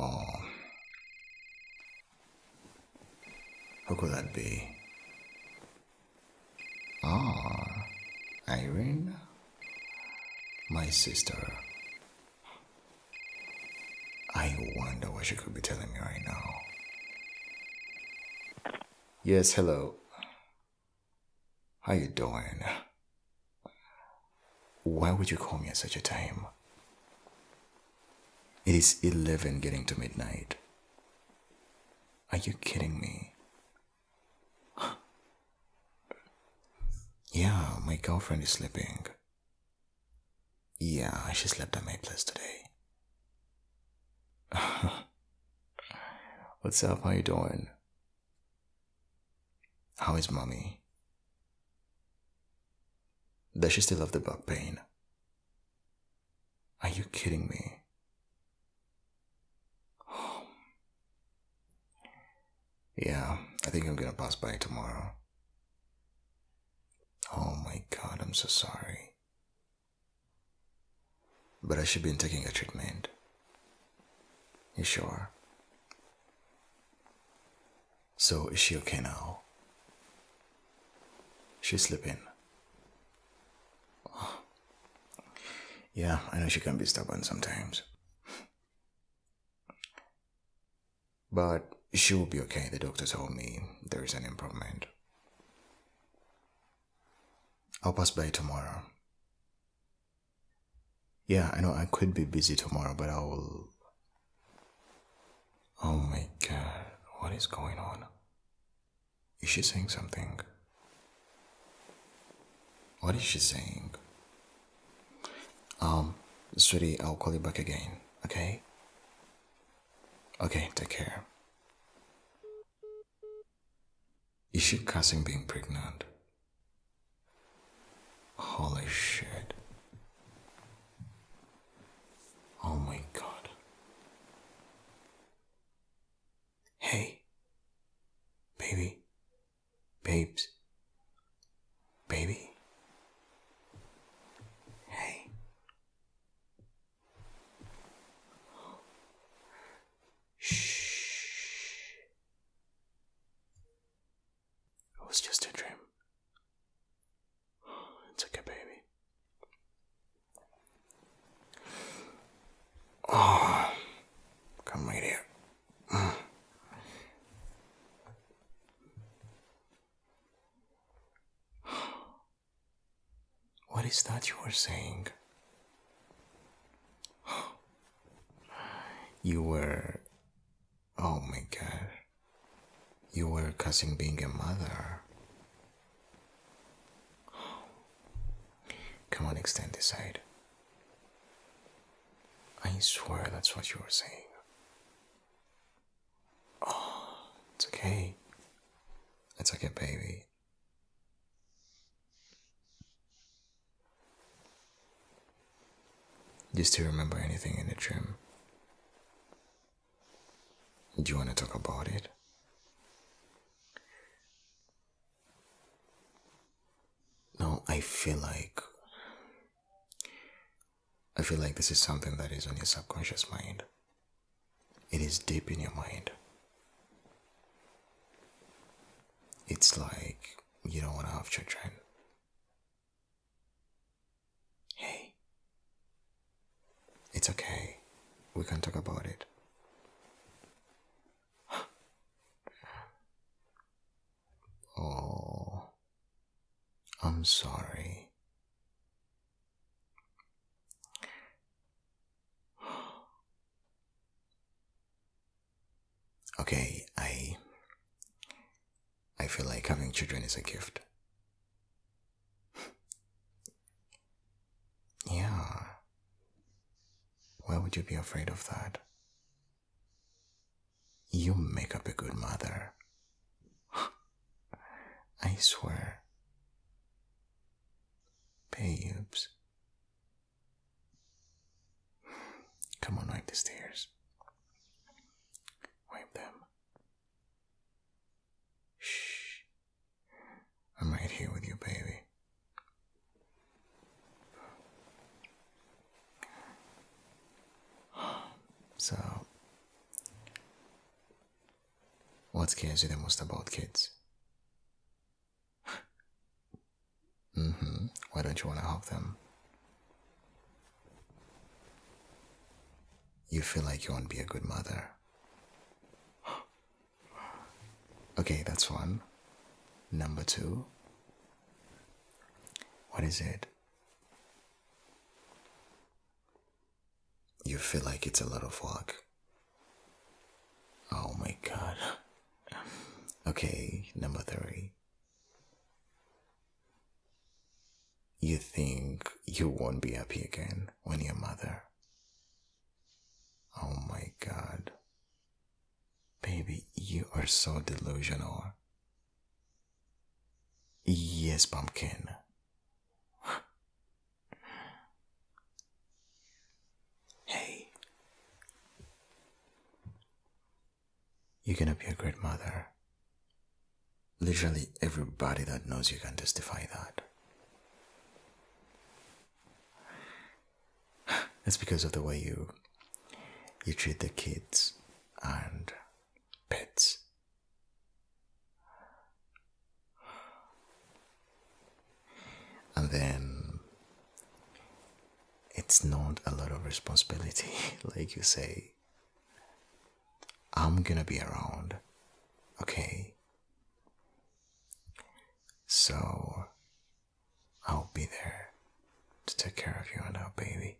Oh. How could that be? Ah, Irene? My sister. I wonder what she could be telling me right now. Yes, hello. How you doing? Why would you call me at such a time? It is 11 getting to midnight. Are you kidding me? yeah, my girlfriend is sleeping. Yeah, she slept at my place today. What's up? How you doing? How is mommy? Does she still have the back pain? Are you kidding me? Yeah, I think I'm gonna pass by tomorrow. Oh my god, I'm so sorry. But I should be in taking a treatment. You sure? So, is she okay now? She's sleeping. Yeah, I know she can be stubborn sometimes. But she will be okay, the doctor told me there is an improvement. I'll pass by tomorrow. Yeah, I know I could be busy tomorrow, but I will. Oh my god, what is going on? Is she saying something? What is she saying? Um, sweetie, I'll call you back again, okay? Okay, take care. Is she cursing being pregnant? Holy shit. Oh my god. Hey, baby, babes, baby. Hey. Shh. It was just a dream. It's okay, baby. Oh, come right here. What is that you were saying? You were. Oh my god. You were cussing being a mother. Come on, extend this side. I swear that's what you were saying. Oh, it's okay. It's okay, baby. Do you remember anything in the dream? Do you want to talk about it? No, I feel like. I feel like this is something that is on your subconscious mind. It is deep in your mind. It's like you don't want to have children. Hey, it's okay. We can talk about it. oh, I'm sorry. okay, I I feel like having children is a gift yeah. Why would you be afraid of that? You make up a good mother. I swear. Babes. Come on, wipe the stairs. Wipe them. Shh. I'm right here with you, baby. So, what scares you the most about kids? mm-hmm. Why don't you want to help them? you feel like you won't be a good mother. okay, that's one. Number two, what is it? You feel like it's a lot of work. Oh my god. Okay, number three you think you won't be happy again when your mother. Oh my god. Baby, you are so delusional. Yes, pumpkin. hey. You're gonna be a great mother. Literally everybody that knows you can testify that. It's because of the way you you treat the kids and pets. And then it's not a lot of responsibility, like you say. I'm gonna be around, okay? So, I'll be there to take care of you and our baby.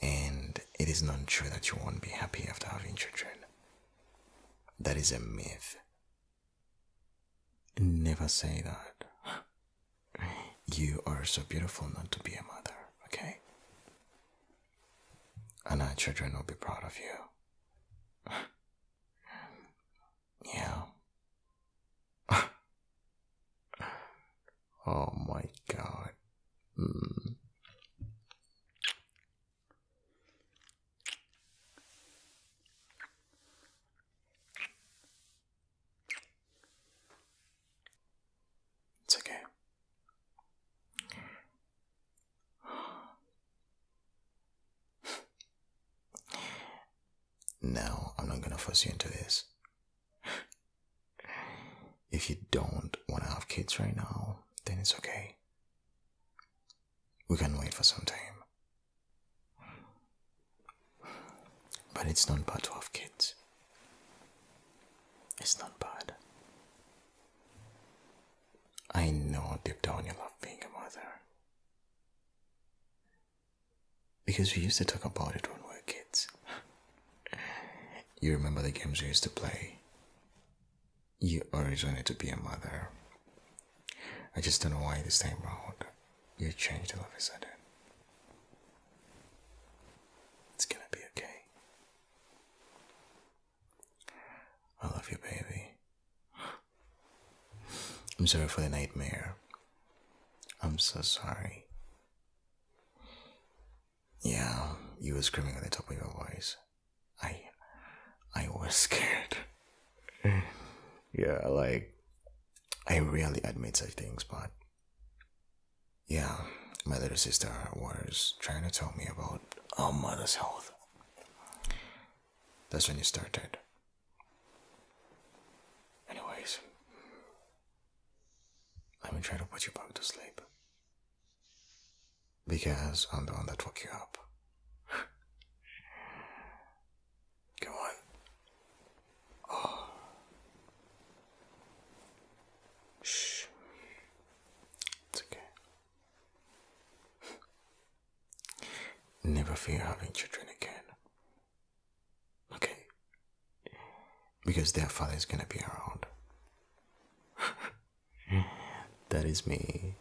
And it is not true that you won't be happy after having children. That is a myth. Never say that. You are so beautiful not to be a mother, okay? And our children will be proud of you. yeah. oh my god. Hmm. It's okay. now, I'm not gonna force you into this. if you don't wanna have kids right now, then it's okay. We can wait for some time. But it's not bad to have kids. It's not bad. I know deep down you love being a mother. Because we used to talk about it when we were kids. you remember the games we used to play? You always wanted to be a mother. I just don't know why this time round you changed all of a sudden. It's gonna be okay. I love you, baby. I'm sorry for the nightmare. I'm so sorry. Yeah, you were screaming at the top of your voice. I, I was scared. yeah, like I rarely admit such things, but yeah, my little sister was trying to tell me about our mother's health. That's when it started. Anyways, let me try to put you back to sleep. Because I'm the one that woke you up. Come on. Oh. Shh. okay. Never fear having children again. Okay? Because their father is gonna be around. that is me.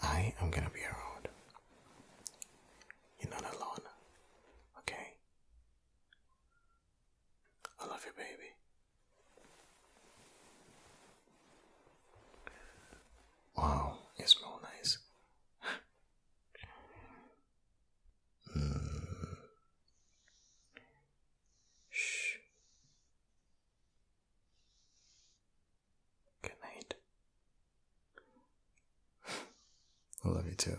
I am gonna be around. You're not alone. Okay? I love you, baby. Wow, you smell nice. mm. Shh. Good night. I love you too.